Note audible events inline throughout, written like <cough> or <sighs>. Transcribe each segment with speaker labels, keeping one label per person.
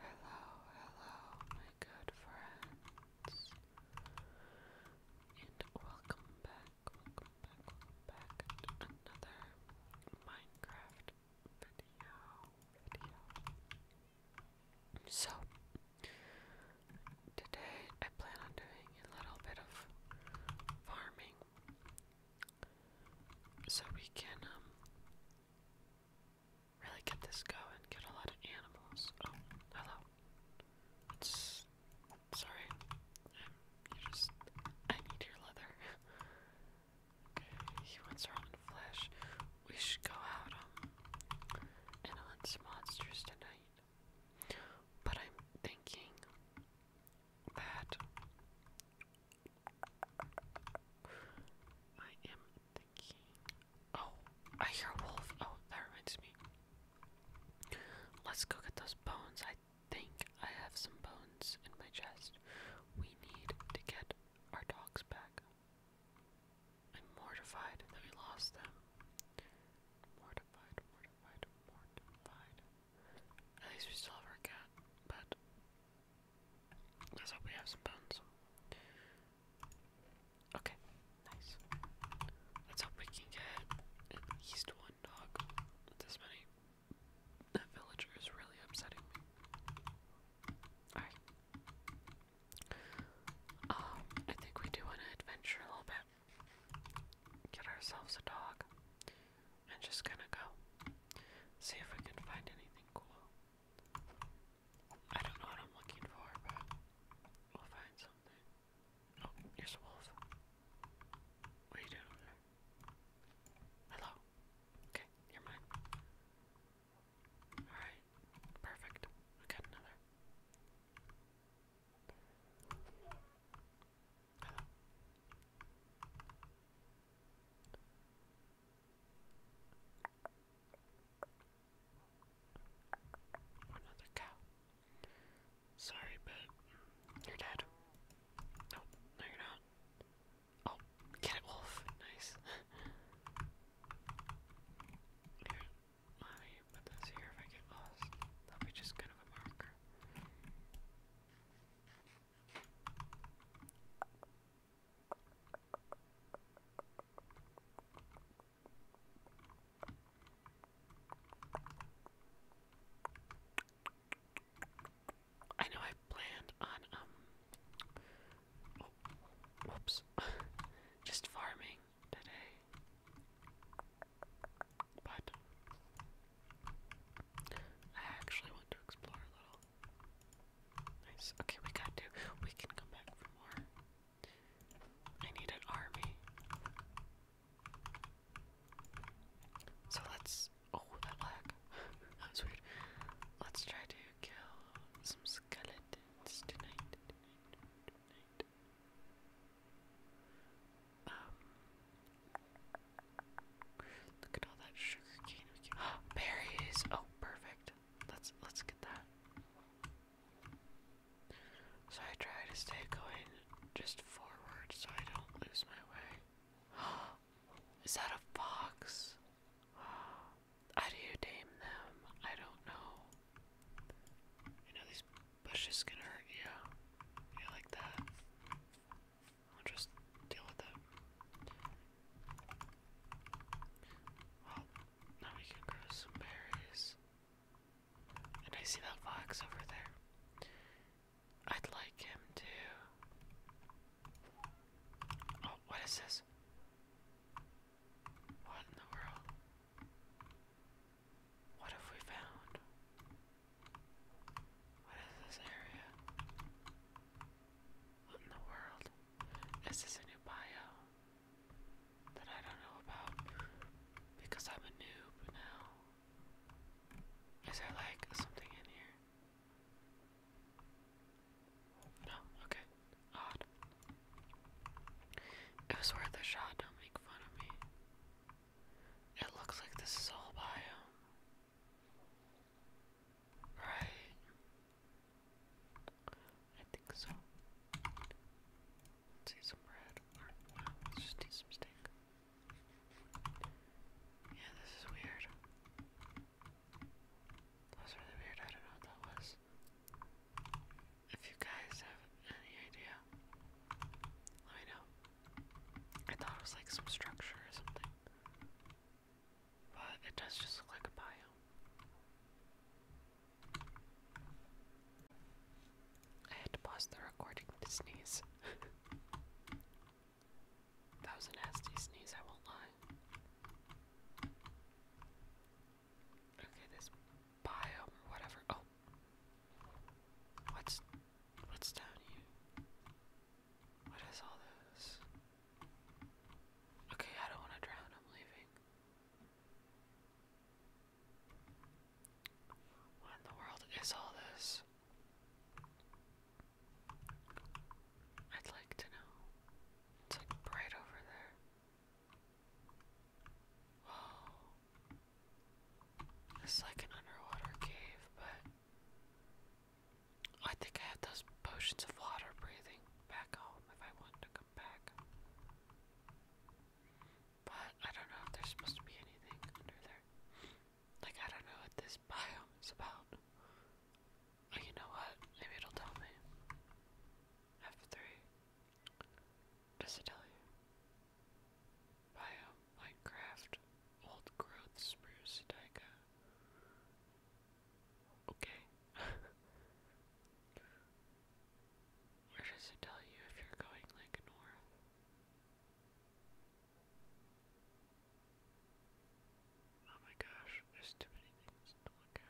Speaker 1: Hello, hello, my good friends, and welcome back, welcome back, welcome back to another Minecraft video. So, today I plan on doing a little bit of farming so we can um really get this going, get a lot of animals. Oh, hello. sorry. i just I need your leather. <laughs> okay, he wants flesh. We should go out um and hunt some monsters tonight. But I'm thinking that I am thinking. Oh, I hear a Oh, that reminds me. Let's go get those bones. I think I have some bones in my chest. We need to get our dogs back. I'm mortified that we lost them. Mortified, mortified, mortified. At least we still have our cat, but let's hope we have some bones. Okay, nice. Let's hope we can get at least one dog. This many. That villager is really upsetting Alright. Um, I think we do want to adventure a little bit. Get ourselves a dog. I'm just gonna go see if we can find anything cool. I don't know what I'm looking for, but we'll find something. Oh, here's a wolf. What are you doing there? Hello. Okay, you're mine. Alright, perfect. We got another. Hello. Another cow. Sorry, but you're dead. Nope, oh, no, you're not. Oh, get it, wolf. Nice. <laughs> Here, let me put this here if I get lost. That'll just kind of a marker. I know I planned on um oh, whoops <laughs> just farming today but I actually want to explore a little Okay, we got to. We can come back for more. I need an army. So let's. Oh, that lag. <laughs> that was weird. Let's try to kill some skeletons tonight. Tonight. Um, Look at all that sugar cane <gasps> berries. Oh, perfect. Let's let's get that. So I try to stay going just forward so I don't lose my way. <gasps> Is that a fox? <gasps> How do you tame them? I don't know. You know these bushes can hurt you. You like that? I'll just deal with that. Well, now we can grow some berries. And I see that fox over there. I'd like him too. Oh, what is this? What in the world? What have we found? What is this area? What in the world? Is a new bio that I don't know about? Because I'm a noob now. Is there like something in here? No, okay. Odd. It was worth a shot, don't make fun of me. It looks like this is all bio. Right. I think so. Let's see some bread. Or, let's just eat some steak. Yeah, this is weird. That was really weird. I don't know what that was. If you guys have any idea, let me know. I thought it was like some structure or something. But it does just look like a biome. I had to pause the recording to sneeze. <laughs> that was a nasty sneeze, I won't lie. Okay, this biome or whatever. Oh. What's what's down here? What is all this? Okay, I don't want to drown. I'm leaving. What in the world is all this? I'd like to know. It's like right over there. Whoa. It's like an underwater cave, but I think I have those potions of water breathing back home if I wanted to come back. But I don't know if there's supposed to be anything under there. Like, I don't know what this <laughs> biome is about. Oh, you know what? Maybe it'll tell me. F3. Does it tell you? Biome, Minecraft, Old Growth Spruce Taiga. Okay. <laughs> Where does it tell you if you're going like north? Oh my gosh, there's too many things to look at.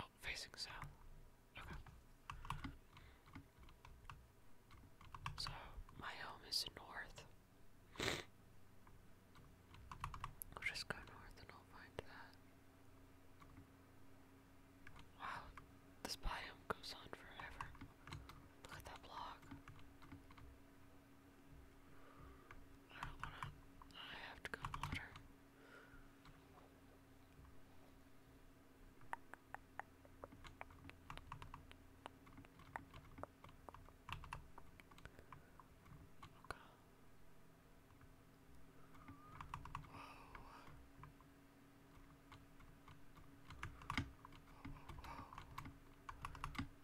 Speaker 1: Oh, facing south. Okay. So, my home is north. I'll just go north and I'll find that. Wow, this biome goes on forever. Look at that block. I don't wanna. I have to go water. Okay.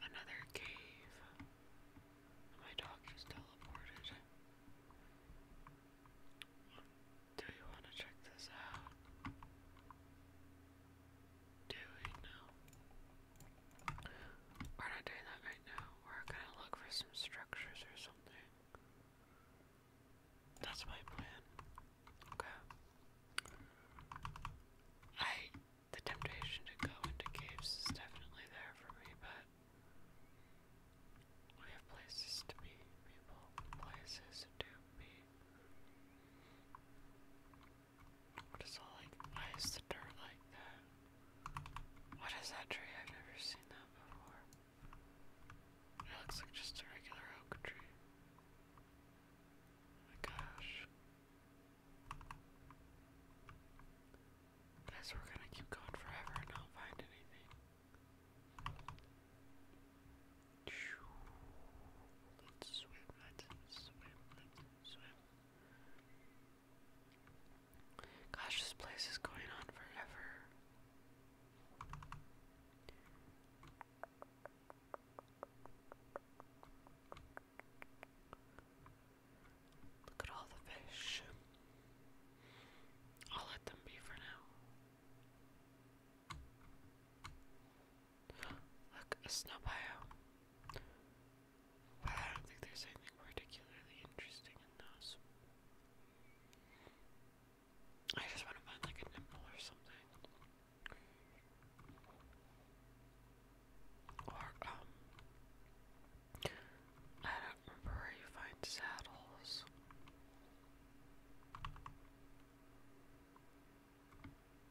Speaker 1: Another cave. My dog just teleported. Do you want to check this out? doing now. We're not doing that right now. We're gonna look for some structures or something. That's my plan. Okay. I the temptation to go into caves is definitely there for me, but we have places to be, people, places to be. What is all like? Why is the dirt like that? What is that tree? I've never seen that before. It looks like just a regular oak tree. Oh my gosh. Guys, we're gonna keep going forever and not find anything. Let's swim, let's swim, let's swim. Gosh, this place is going on forever. Look at all the fish. I'll let them be for now. Look, a snow but I don't think there's anything particularly interesting in those. I just want to find like a nipple or something. Or, um, I don't remember where you find saddles. <gasps>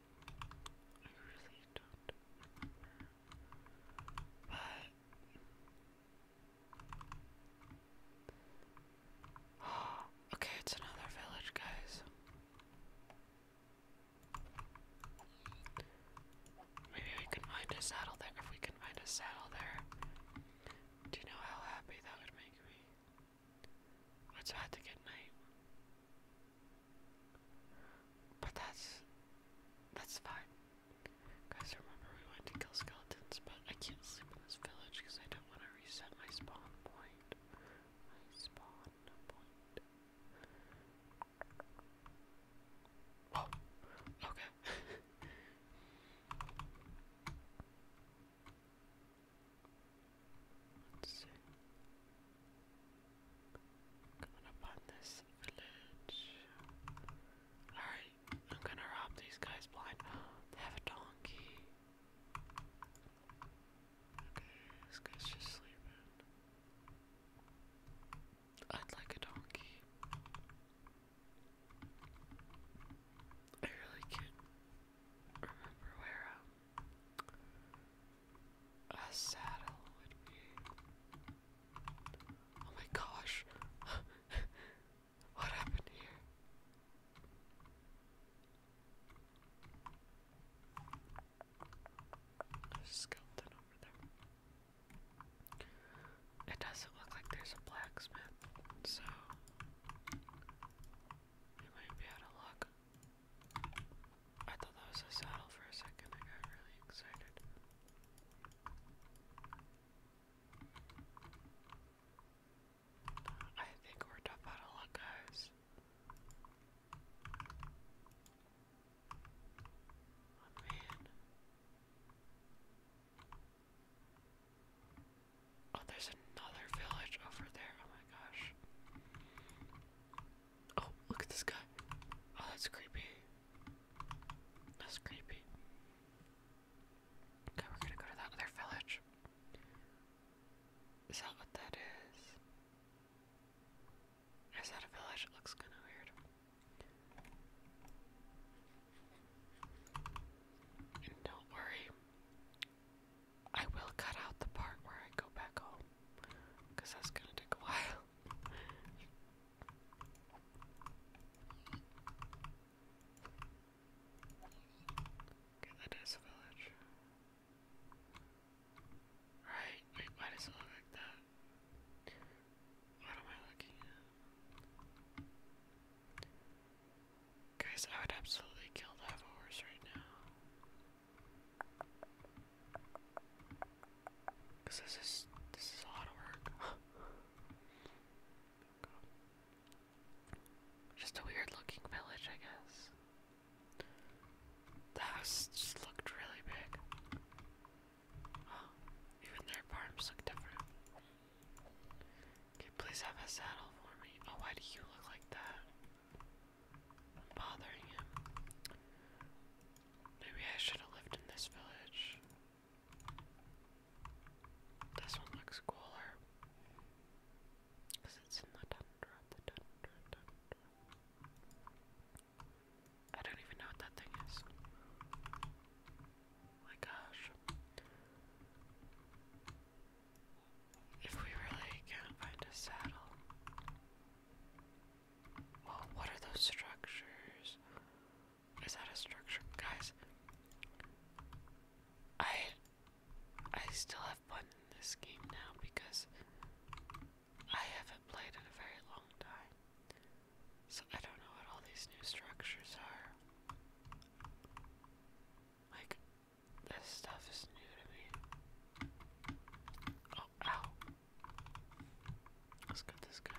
Speaker 1: okay, it's another village, guys. Maybe we can find a saddle there. If we can find a saddle there, do you know how happy that would make me? It's about to get night. But that's that's fine. Guys, remember we went to kill skeletons, but I can't sleep in this village because I don't want to reset my spawn point. My spawn point. Oh, okay. <laughs> Let's see. Coming this village. Alright, I'm gonna rob these guys blind. <gasps> have a donkey. Okay, this guy's just sleeping. I'd like a donkey. I really can't remember where um a saddle would be. Oh my gosh. <laughs> what happened here? skeleton over there. It doesn't look like there's a blacksmith, so you might be out of luck. I thought that was a saddle for a second. I got really excited. I think we're tough out luck, guys. Oh man. Oh, there's another village over there. Oh my gosh. Oh, look at this guy. Oh, that's creepy. That's creepy. Okay, we're gonna go to that other village. Is that what that is? Is that a village? It looks kinda weird. don't worry, I will cut out the part where I go back home, because that's gonna take a while. Okay, that is a village. Right, wait, why does it look like that? What am I looking at? Guys, I would absolutely kill to have a horse right now. Cause this is this is a lot of work. <sighs> just a weird looking village, I guess. The house just looked really big. <gasps> even their farms look different. Okay, please have a saddle for me? Oh, why do you look like that? I'm bothering him. Maybe I should have lived in this village. This one looks cooler. Because it's in the tundra, I don't even know what that thing is. Oh my gosh. If we really can't find a saddle, well, what are those structures? Is that a structure? Guys, I I still have fun in this game now because I haven't played in a very long time. So I don't know what all these new structures are. Like this stuff is new to me. Let's get this guy.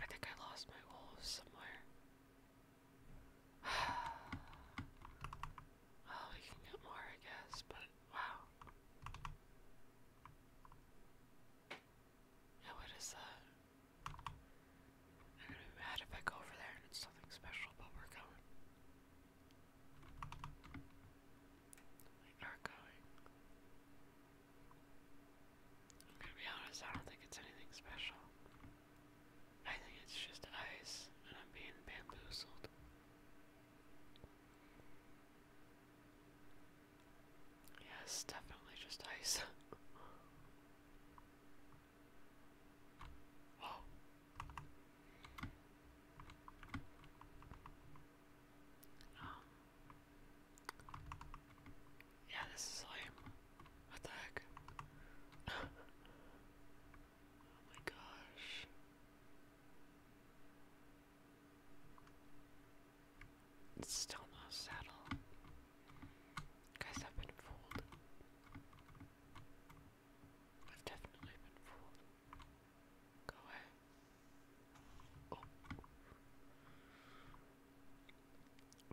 Speaker 1: I think I lost my wolves somewhere. well, <sighs> oh, we can get more, I guess, but wow. Yeah, what is that? I'm gonna be if I go over there and it's something special, but we're going. We're going. I'm gonna be honest, I don't think it's anything special. I think it's just ice, and I'm being bamboozled. Yes, definitely just ice. <laughs> Oh. yeah, this is lame. What the heck? <laughs> oh my gosh. It's still no saddle. Guys, I've been fooled. I've definitely been fooled. Go away. Oh.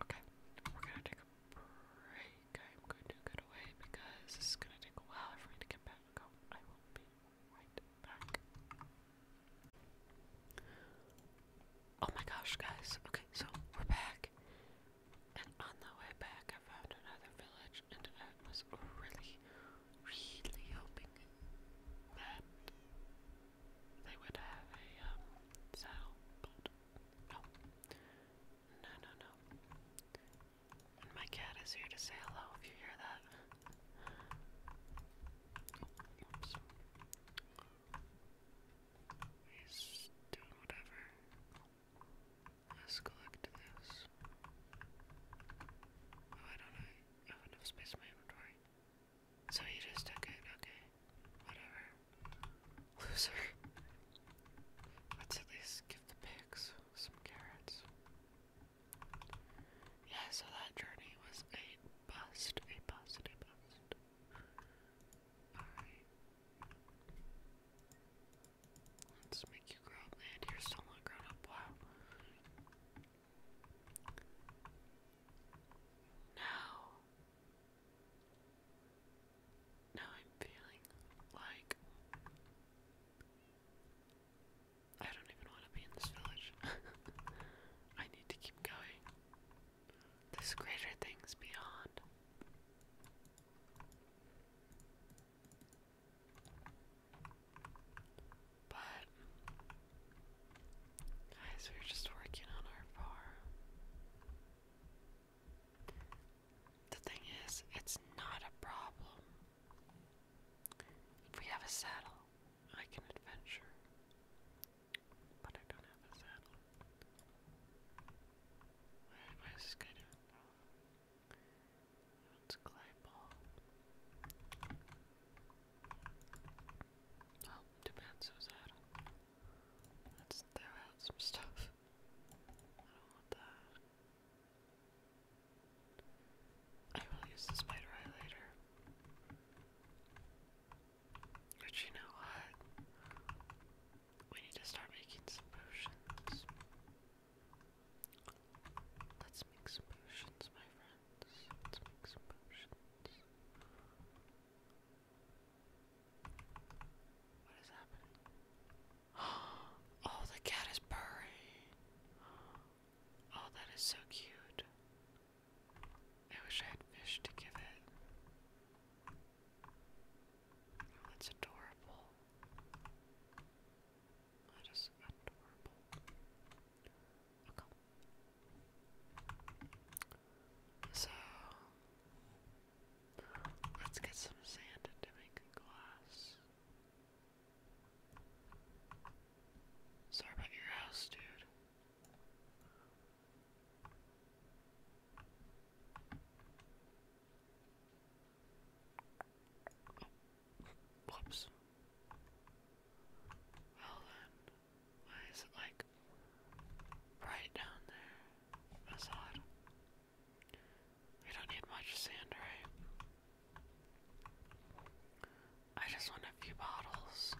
Speaker 1: Okay, we're gonna take a break. I'm going to get away because this is gonna take a while for me to get back oh, I will be right back. Oh my gosh, guys. Okay, so we're back. And on the way back, I found another village, and it was really really hoping that they would have a um, saddle, but no, no, no, no. And my cat is here to say hello if you hear that. Oh, oops. He's doing whatever. Let's collect this. Oh, don't I have enough space in So you just took it, okay. Whatever. Loser. <laughs> Let's at least give the pigs some carrots. Yeah, so that journey was a bust, a bust, a bust. Alright. Let's make you grow up, man. You're still not grown up. Wow. Now, now I'm feeling like I don't even want to be in this village. <laughs> I need to keep going. There's greater things beyond. But guys, we're just working on our farm. The thing is, it's not a problem. If we have a saddle, I can adventure. But I don't have a saddle. What is this guy that's Claypole. Oh, Demenso was out. Let's throw out some stuff. I don't want that. I will use the spider eye later. But you know what? We need to start making some potions. Let's make some potions, my friends. Let's make some potions. What is happening? <gasps> Oh, the cat is purring. Oh, that is so cute. I wish I had fish to give it. Oh, that's adorable. That is adorable. Okay. So, let's get some sand to make glass. Sorry about your house, dude. Whoops. Well then, why is it like right down there? That's We don't need much sand, right? I just want a few bottles.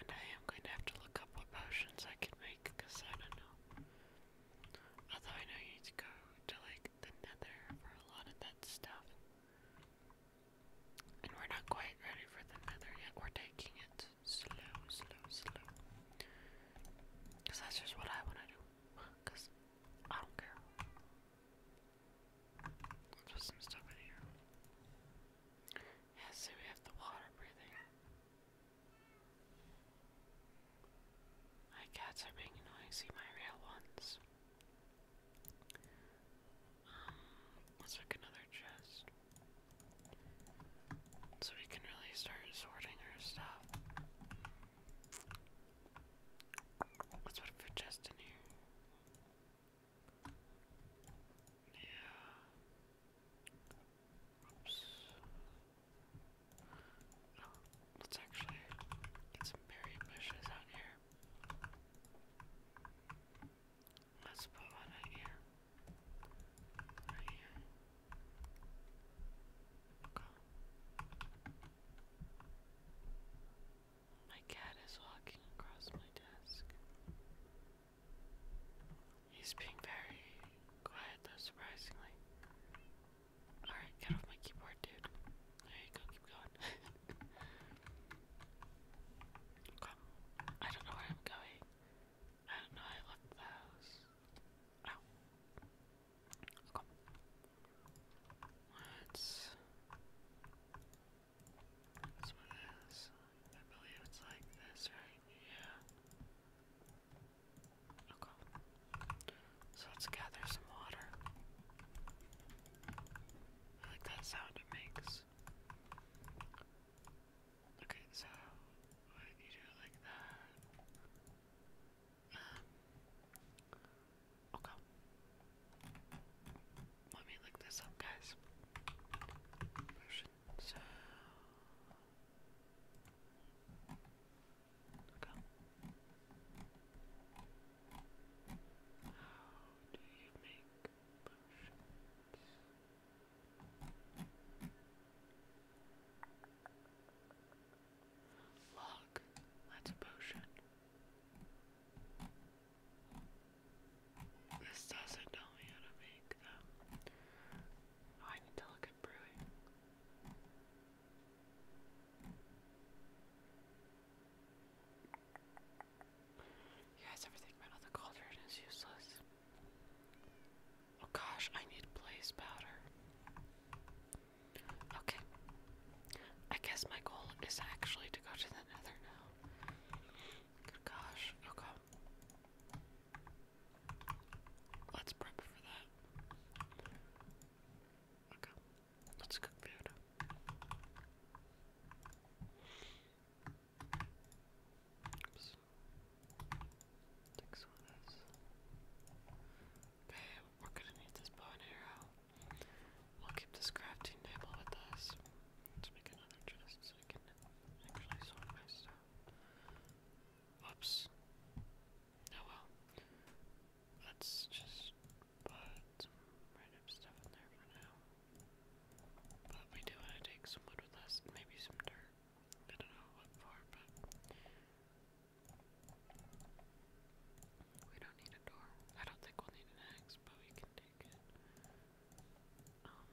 Speaker 1: And I am going to have to look up what potions I can make because I don't know. Although I know you need to go to like the nether for a lot of that stuff. And we're not quite ready for the nether yet. We're taking it slow, slow, slow. Because that's just what I want to Because I don't care. let some stuff in here. Yeah, we have the water breathing. My cats are being noisy, my real ones. Um, let's make another chest. So we can really start sorting our stuff. Let's put a chest in here. Yeah. Oops. No, let's actually get some berry bushes out here. Let's put one right here. Right here. Okay. My cat is walking across my desk. He's being very quiet though, surprisingly. Alright, get off my keyboard, dude. There you go, keep going. <laughs> Come. I don't know where I'm going. I don't know, I left the house. Ow. Come. Let's. This one I believe it's like this, right? Yeah. Okay. So let's gather some water. I like that sound it makes. Okay, so what you do it like that. Um, okay. Let me look this up, guys. So How do you make potions? Log, that's a potion. This doesn't tell me how to make them. Oh, I need to look you guys ever think my cauldron is useless? Oh gosh, I need blaze powder. Okay. I guess my goal is actually to go to the nether now. gosh, okay. Let's prep for that. Okay, let's cook food. Oops. Take some of Okay, we're gonna need this bow and arrow. We'll keep this crafting table with us. Let's make another chest so I can actually sort my stuff. Oops. Oh well. Let's just put some stuff in there for now. But we do want to take some wood with us, maybe some dirt. I don't know what for, but we don't need a door. I don't think we'll need an axe, but we can take it. Um,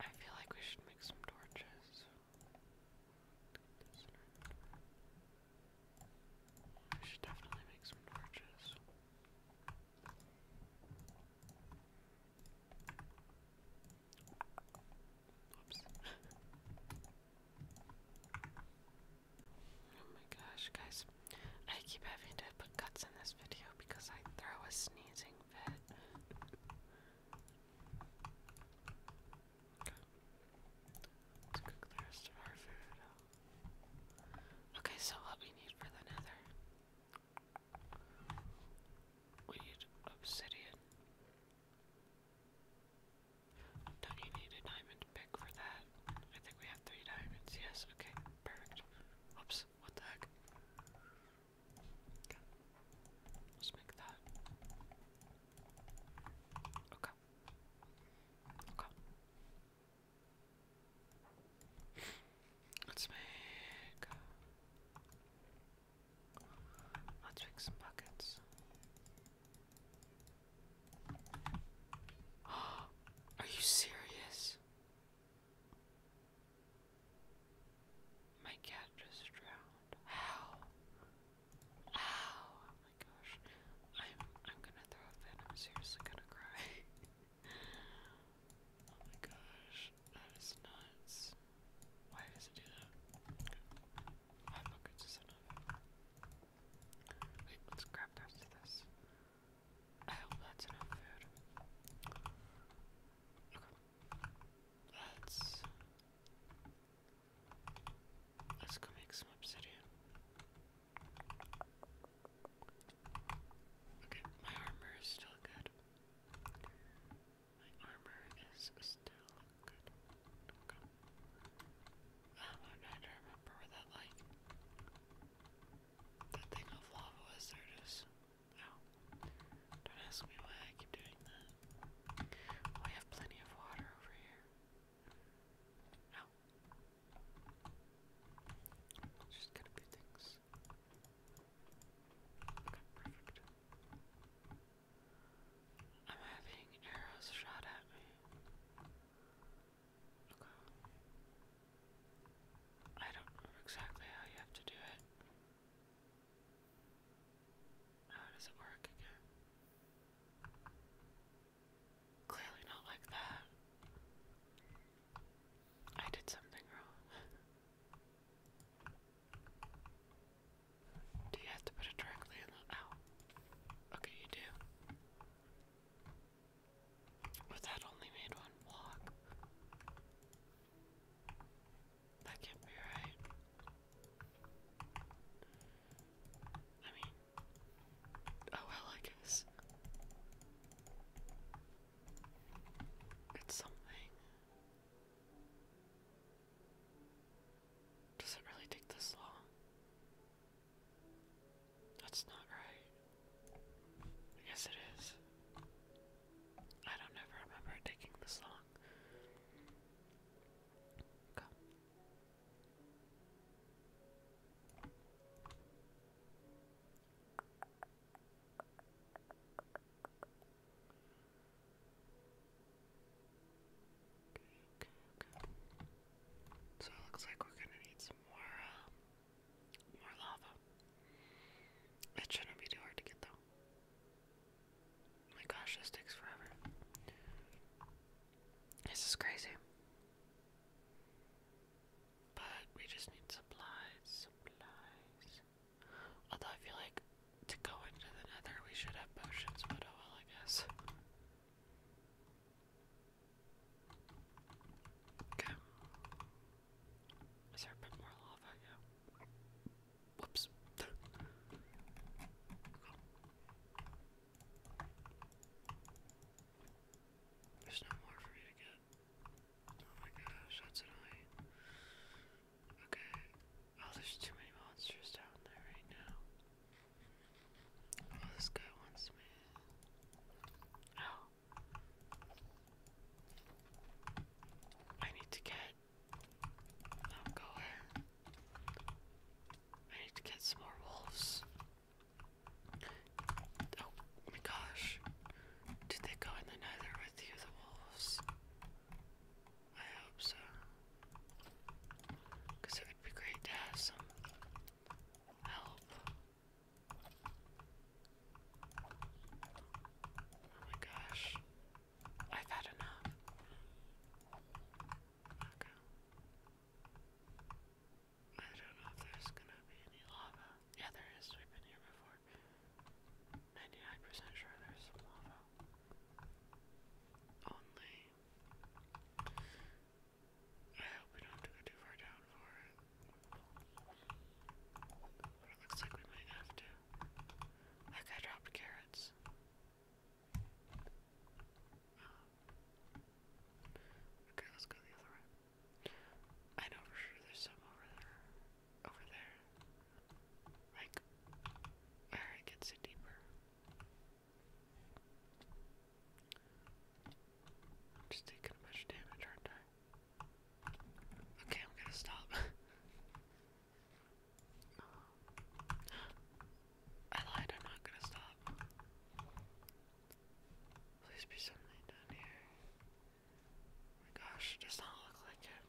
Speaker 1: I feel like we should make some torches. We should definitely make some torches. Oops. oh my gosh, guys. I keep having to put cuts in this video because I throw a sneezing fit. Let's cook the rest of our food. Okay, so what we need for the nether. We need obsidian. do you need a diamond pick for that? I think we have three diamonds. Yes, okay, perfect. Oops, what the heck? Let's make that. Okay. Okay. Let's make Let's make some buckets. <gasps> Are you serious? My cat just drowned. Ow! Ow! Oh my gosh. I'm I'm gonna throw a I'm seriously gonna cry. <laughs> oh my gosh. That is nuts. Why does it do that? Okay. Five buckets is enough. Wait, let's grab the this. I hope that's enough food. Let's let's go make some obsidian. Okay, my armor is still good. My armor is still good. Oh, I'm trying to remember where that like that thing of lava was. There don't ask me why I keep doing that. we oh, have plenty of water over here. Just gotta things. perfect. I'm having arrows shot at me. Okay. I don't remember exactly how you have to do it. How does it work again? Clearly not like that. I did something wrong. do you have to put it directly in the ow? Okay, you do. But that only made one block. That can't be right. I mean, oh well, I guess. It's something. Does it really take this long? That's not right. I guess it is. I don't ever remember taking this long. So it looks like we're gonna need some more, uh, more lava. It shouldn't be too hard to get though. Oh my gosh, this takes forever. This is crazy. But we just need supplies, supplies. Although I feel like to go into the nether we should have potions, but oh well I guess. Okay. Is there a bit more lava? Whoops. There's no more for me to get. Oh my gosh, that's annoying. Okay. Oh, there's too many monsters down there right now. Oh, this guy wants me. Ow. Oh. I need to get I'm going. I need to get some more wolves. Oh my gosh. Did they go in the nether with you, the wolves? I hope so. Because it would be great to have some help. Oh my gosh. I've had enough. Okay. I don't know if there's gonna be any lava. Yeah, there is. We've been here before. 99% sure there's some lava. Only. I hope we don't have to go too far down for it. But it looks like we might have to. Like, I dropped carrots. Um, okay, let's go the other way. I know for sure there's some over there. Over there. Like, where it gets deeper. I'm just taking much damage, aren't I? Okay, I'm gonna stop. <laughs> I lied, I'm not gonna stop. Please be something down here. Oh my gosh, does not look like it.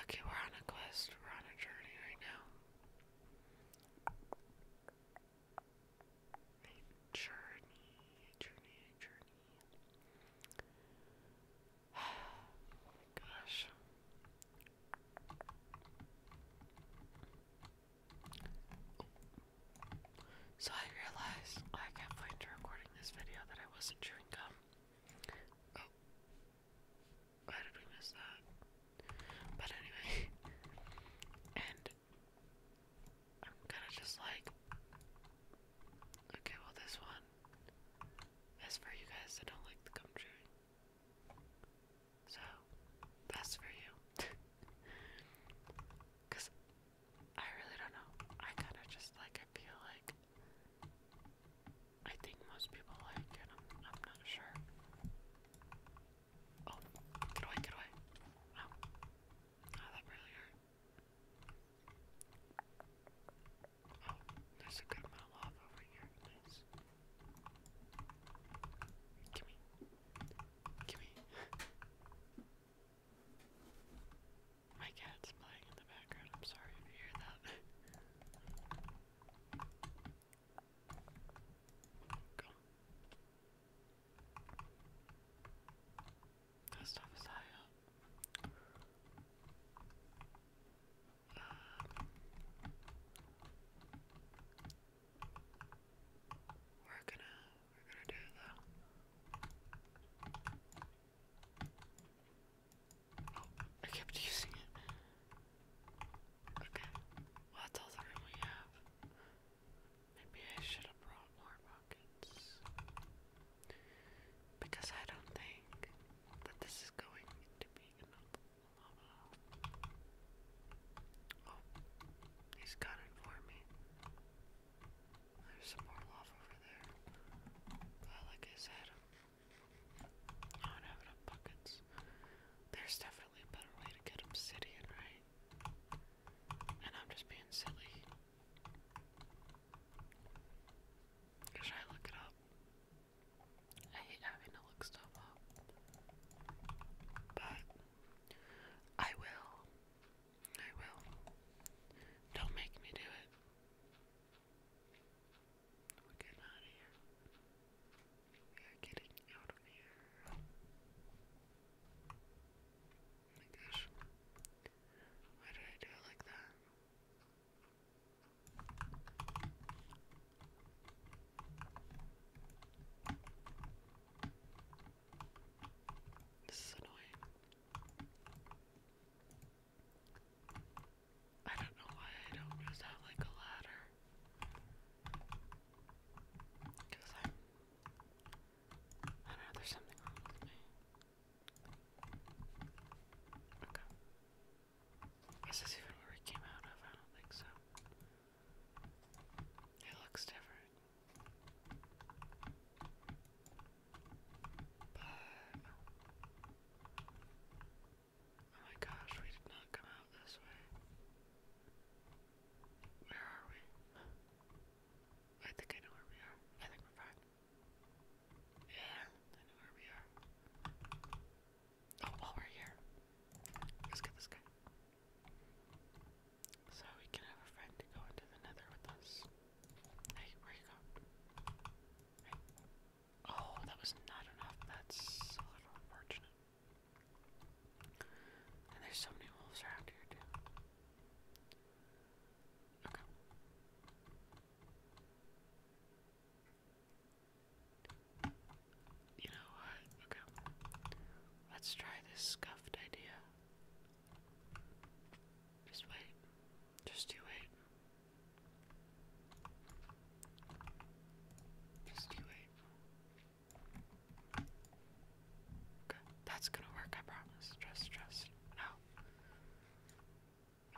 Speaker 1: Okay, we're on a quest, we're on a journey right now. journey, journey, journey. Gosh. <sighs> So I realized I kept playing to recording this video that I wasn't chewing gum. Oh. Why did we miss that? But anyway. <laughs> And I'm gonna just like. Okay, well, this one. As for you guys I don't like the gum So, that's for you. Because <laughs> I really don't know. I kind of just like, I feel like. I think most people like it. i I'm not sure. Oh, get away, get away. Ow. Oh, that really hurt. Oh, there's a good amount of over here. Gimme. Gimme. My cat's playing in the background. I'm sorry if you hear that. That stuff is high up. We're gonna we're gonna do it though. Oh, I kept using it. Okay. Well that's all we have. Maybe I should have brought more buckets. Because I don't think that this is going to be he's got it for me. There's more lava over there. I like his head. I don't buckets. There's definitely a better way to get obsidian, right? And I'm just being silly. Should I look it up? I hate having to look stuff up. But I will. I will. Don't make me do it. We're getting out of here. We are getting out of here. Oh my gosh. Why did I do it like that? This is annoying. I don't know why I don't just have like a ladder. Because I, I don't know, there's something wrong with me. Okay. Is this even where it came out of? I don't think so. It looks different. But. Oh. oh my gosh, we did not come out this way. Where are we? I think I know where we are. I think we're fine. Yeah, I know where we are while oh, oh, we're here, let's get this guy. So we can have a friend to go into the nether with us. Hey, where you go? Oh, that was not enough. That's a little unfortunate. And there's so many wolves around here, too. Okay. You know what? Okay. Let's try this scuffed idea. Just wait. Just do wait. Just do wait. Okay. That's gonna work, I promise. Trust, trust. No.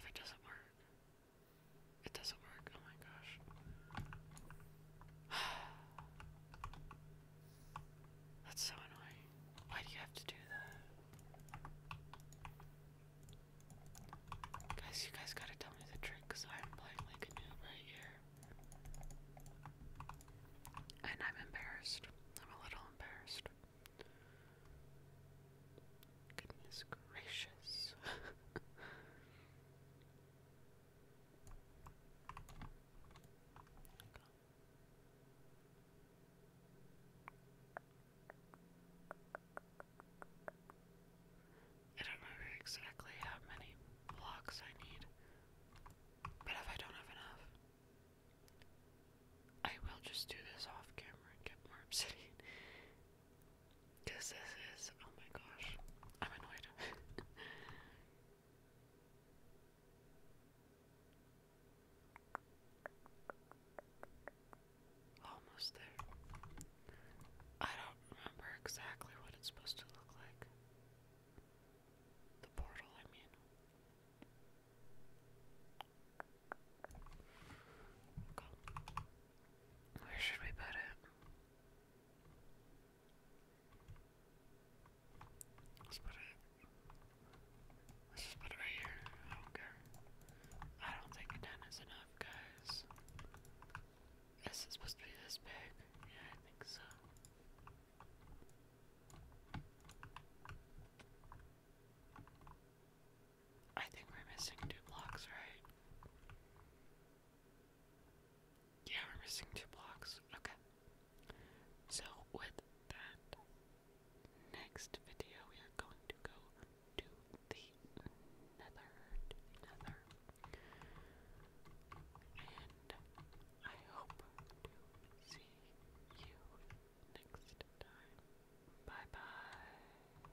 Speaker 1: If it doesn't work, it doesn't work. Oh my gosh. <sighs> That's so annoying. Why do you have to do that? Guys, you guys gotta tell me the trick because I'm playing like right here. And I'm embarrassed. I'm a little embarrassed. Goodness gracious. I don't remember exactly how many blocks I need, but if I don't have enough, I will just do this off camera and get more obsidian. Cause this is oh my gosh. I'm annoyed. <laughs> Almost there. I don't remember exactly what it's supposed to look like. The portal, I mean. Where should we put it? Let's put it. Let's just put it right here. I I don't think ten is enough, guys. Is it supposed to be this big? Yeah, I think so. I think we're missing two blocks, right? Yeah, we're missing two blocks. Okay. So, with that, next video we are going to go to the nether. nether. And I hope to see you next time. Bye bye.